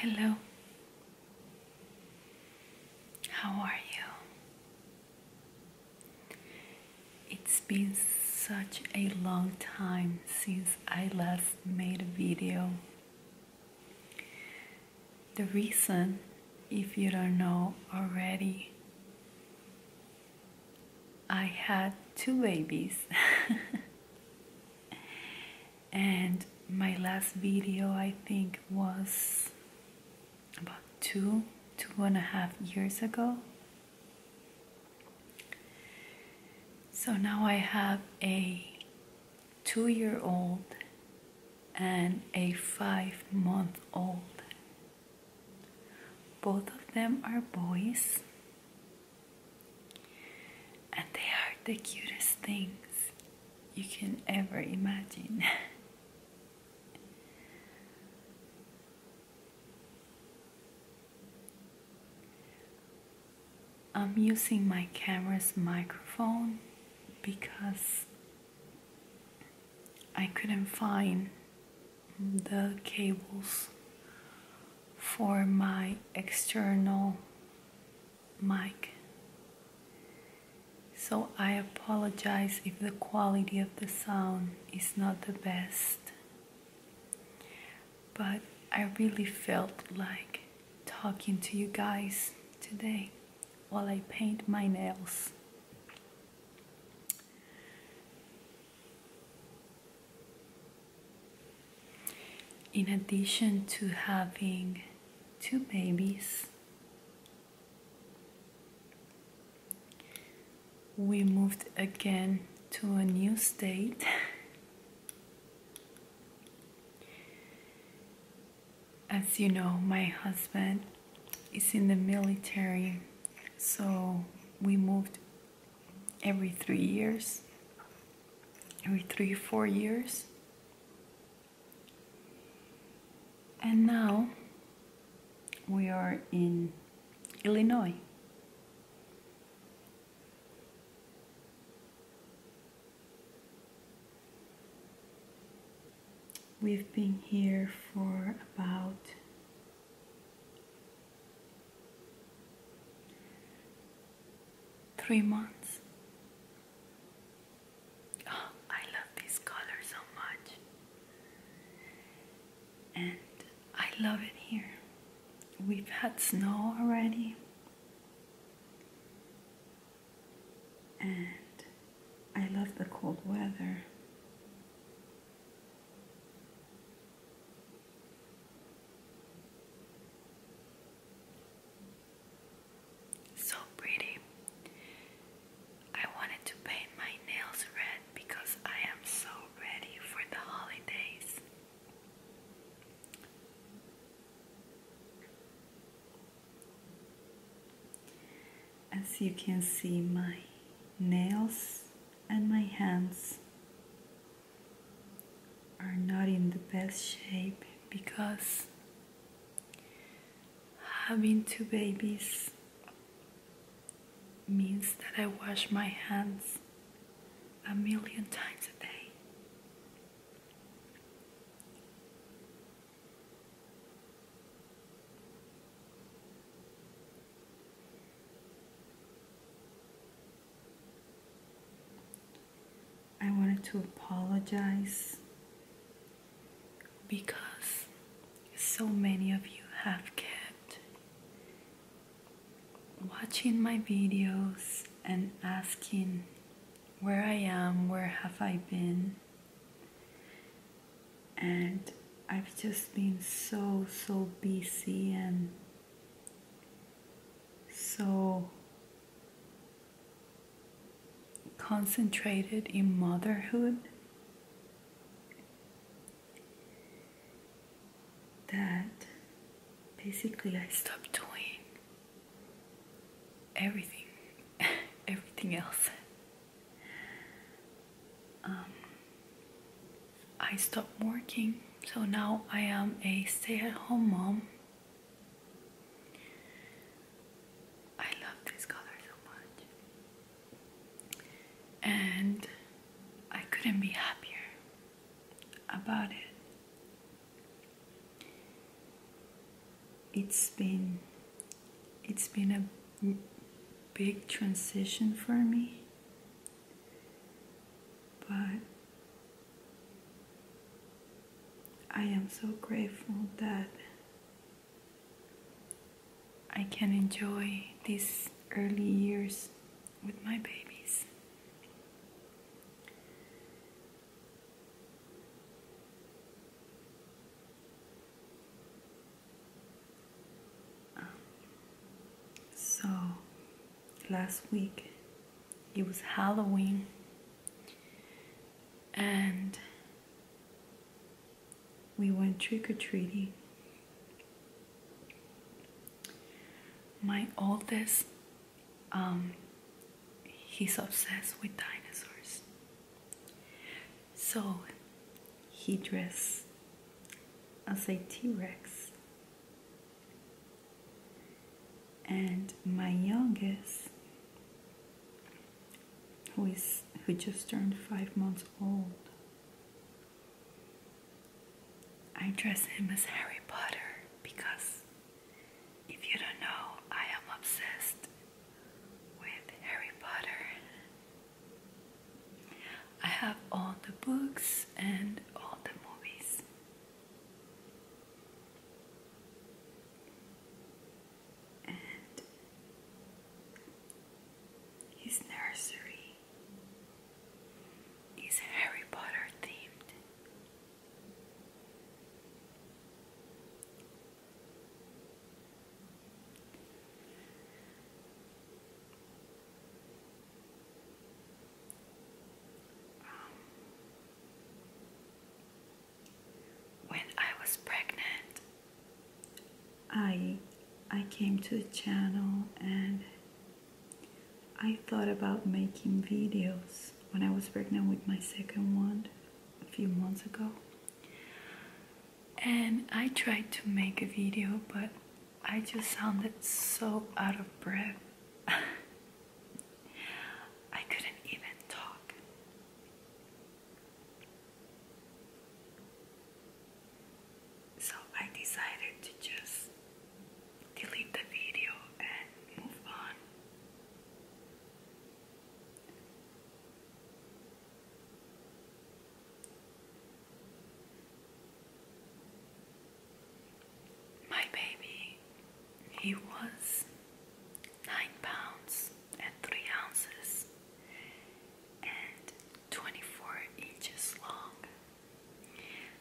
Hello. How are you? It's been such a long time since I last made a video. The reason if you don't know already, I had two babies. and my last video, I think, was about two, two and a half years ago. So now I have a two year old and a five month old both of them are boys, and they are the cutest things you can ever imagine. I'm using my camera's microphone because I couldn't find the cables for my external mic. So I apologize if the quality of the sound is not the best. But I really felt like talking to you guys today while I paint my nails. In addition to having two babies, we moved again to a new state as you know, my husband is in the military, so we moved every three years, every three, or four years. And now we are in Illinois. We've been here for about three months. Oh, I love this color so much, and I love it here. We've had snow already and I love the cold weather. So pretty. I wanted to paint my nails red because I am so ready for the holidays. As you can see, my nails and my hands are not in the best shape because having two babies means that I wash my hands a million times a day. I wanted to apologize because so many of you have kept watching my videos and asking where I am, where have I been? And I've just been so, so busy and so concentrated in motherhood that basically I stopped doing everything, everything else. Um, I stopped working, so now I am a stay at home mom. I love this color so much, and I couldn't be happier about it it's been it's been a big transition for me but I am so grateful that I can enjoy these early years with my babies so last week it was Halloween and we went trick or treating. My oldest um, he's obsessed with dinosaurs. So he I'll say t Rex. And my youngest, who is who just turned five months old, I dress him as Harry Potter because if you don't know, I am obsessed with Harry Potter. I have all the books and all the movies. And his nursery is Harry Potter themed. When I was pregnant, I I came to the channel and I thought about making videos when I was pregnant with my second one a few months ago. And I tried to make a video, but I just sounded so out of breath. I couldn't even talk. So I decided to just delete the video and move on. My baby, he was nine pounds and three ounces and 24 inches long.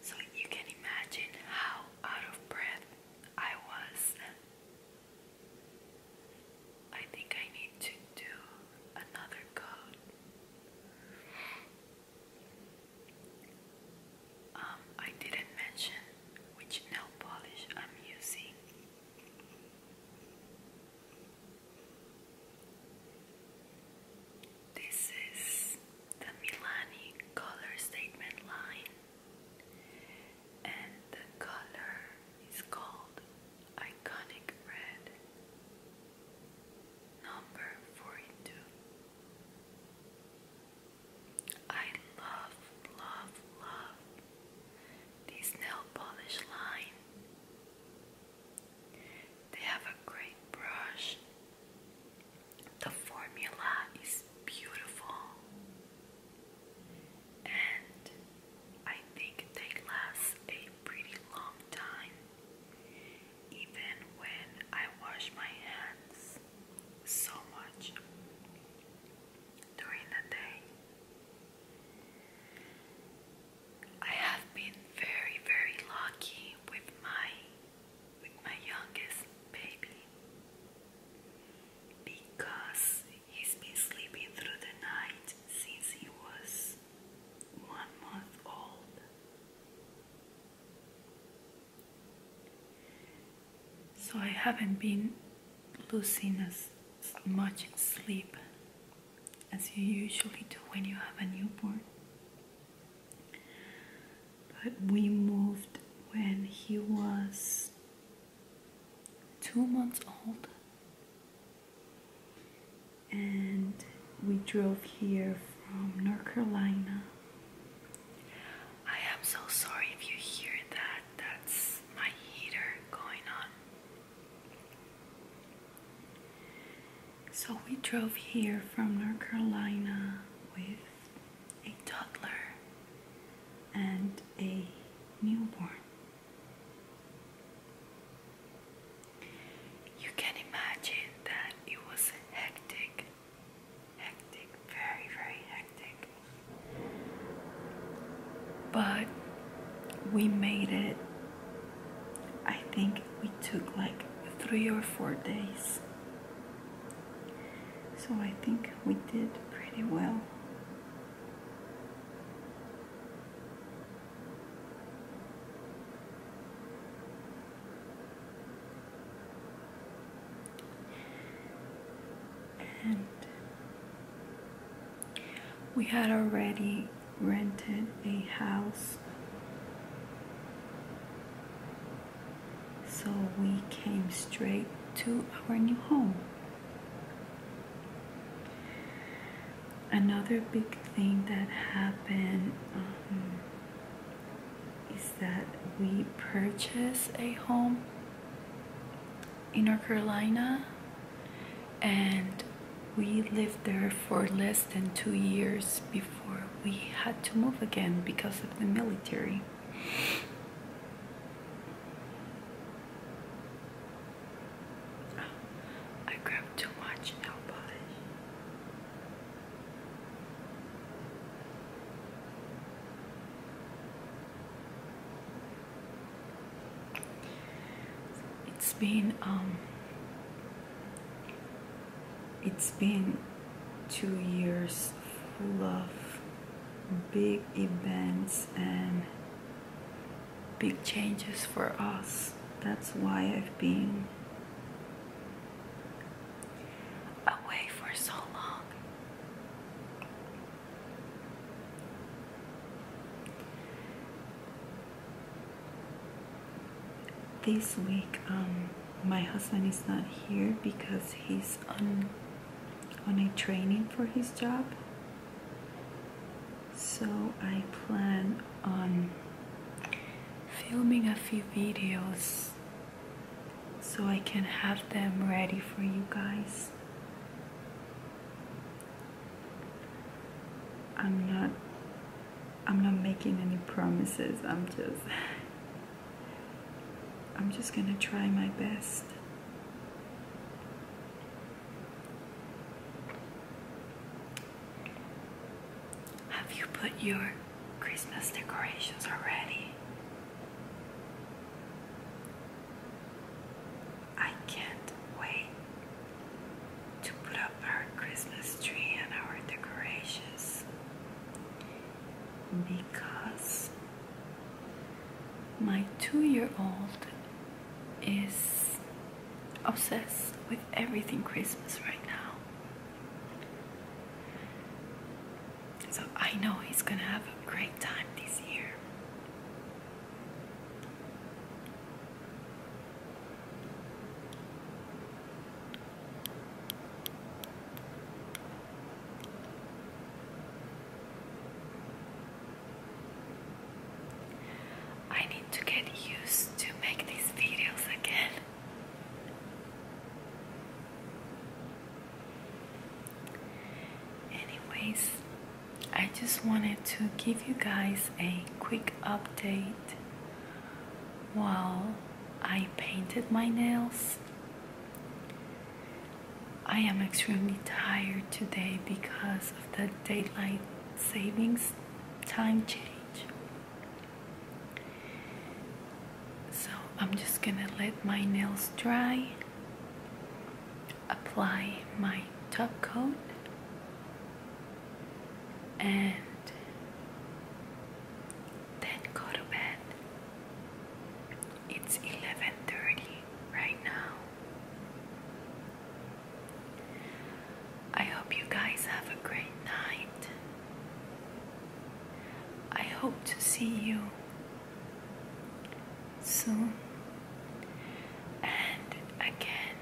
So you can imagine how out of breath I was. I think I need to do another coat. Um, I didn't mention which nail polish I'm using. This is the Milani color statement line, and the color is called Iconic Red, number 42. I love, love, love this nail polish line. They have a great brush. The formula is beautiful. And I think they last a pretty long time. Even when I wash my hands so much during the day. I have been very, very lucky with my with my youngest baby because he's been sleeping through the night since he was one month old. So I haven't been losing as much sleep as you usually do when you have a newborn. But we moved when he was two months old, and we drove here from North Carolina. I am so sorry if you hear that, that's my heater going on. So we drove here from North Carolina with a toddler and a newborn. You can imagine that it was hectic, hectic, very, very hectic. But we made it I think we took like three or four days. So I think we did pretty well. And we had already rented a house so we came straight to our new home another big thing that happened um, is that we purchased a home in North Carolina and we lived there for less than two years before we had to move again because of the military. I grabbed too much nail polish. It's been um, it's been two years full of big events and big changes for us. That's why I've been away for so long. This week, um, my husband is not here because he's on a training for his job. So I plan on filming a few videos so I can have them ready for you guys. I'm not I'm not making any promises. I'm just I'm just going to try my best. Have you put your Christmas decorations already? I can't wait to put up our Christmas tree and our decorations because my two year old is obsessed with everything Christmas right now. So I know he's gonna have a great time this year. I need to get used to make these videos again. Anyways, I just wanted to give you guys a quick update while I painted my nails. I am extremely tired today because of the daylight savings time change. So I'm just gonna let my nails dry apply my top coat and then go to bed. It's 11:30 right now. I hope you guys have a great night. I hope to see you so, and again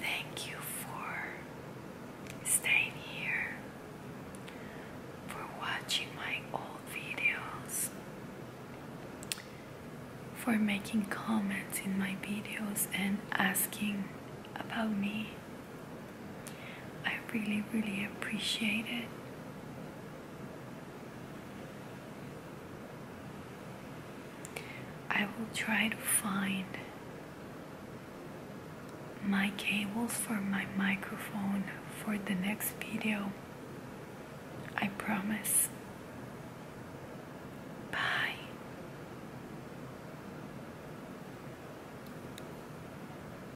thank you for staying here for watching my old videos for making comments in my videos and asking about me I really really appreciate it I will try to find my cables for my microphone for the next video. I promise. Bye.